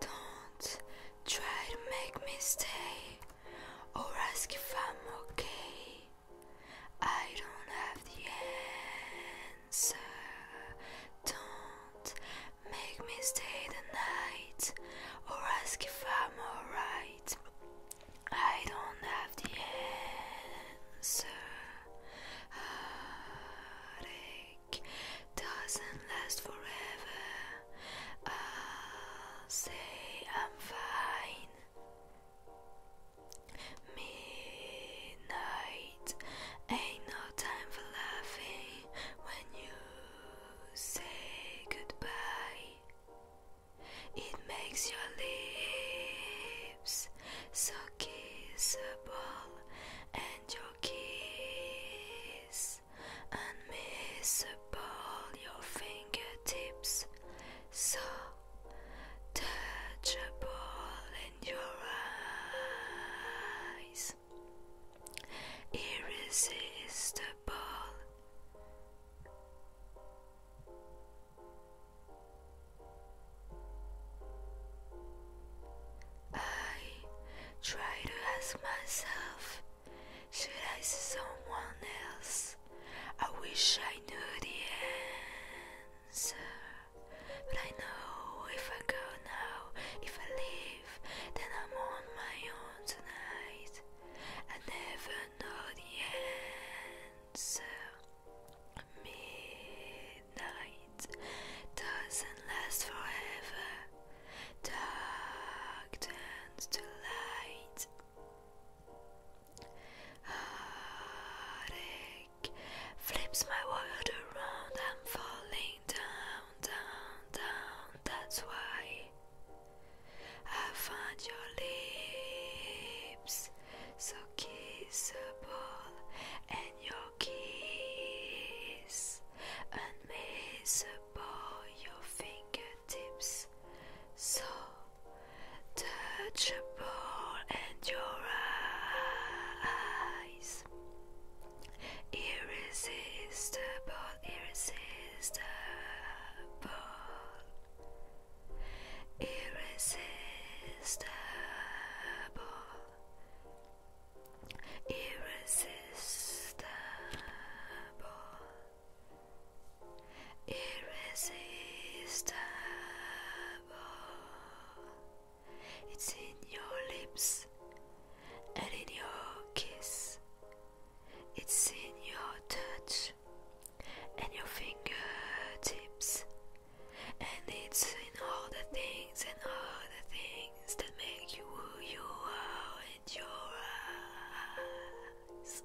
Don't try to make me stay or ask if I'm okay. I don't have the answer. Don't Make me stay the night or ask if I'm alright. I don't have the answer. Heartache doesn't last forever. I'll say I'm fine. Midnight it. Ain't no time for laughing when you say goodbye. It makes your lips so kissable and your kiss unmissable. Your fingertips so touchable in your eyes. Irresistible. I try to ask myself should I see someone else? I wish I knew the answer. But I know if I go now, if I leave, then I'm on my own tonight. I never know the answer. Midnight doesn't last forever. Dark turns to light. Heartache flips my world around. I'm falling down, down, down. That's why I find your lips so kissable and your kiss unmissable. Your fingertips so touch the ball and your eyes. Irresistible, irresistible, irresistible, irresistible irresistible. It's in your lips and in your kiss. It's in your touch and your fingertips, and it's in all the things and all the things that make you who you are and your eyes.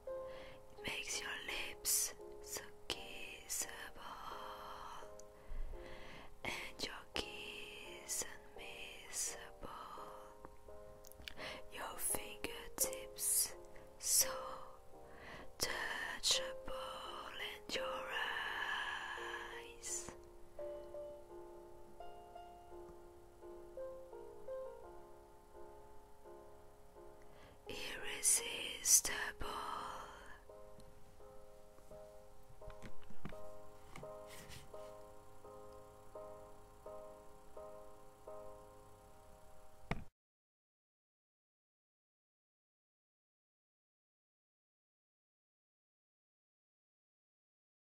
It makes your lips so kissable and your kiss unmissable. Your fingertips so touchable and your eyes Irresistible.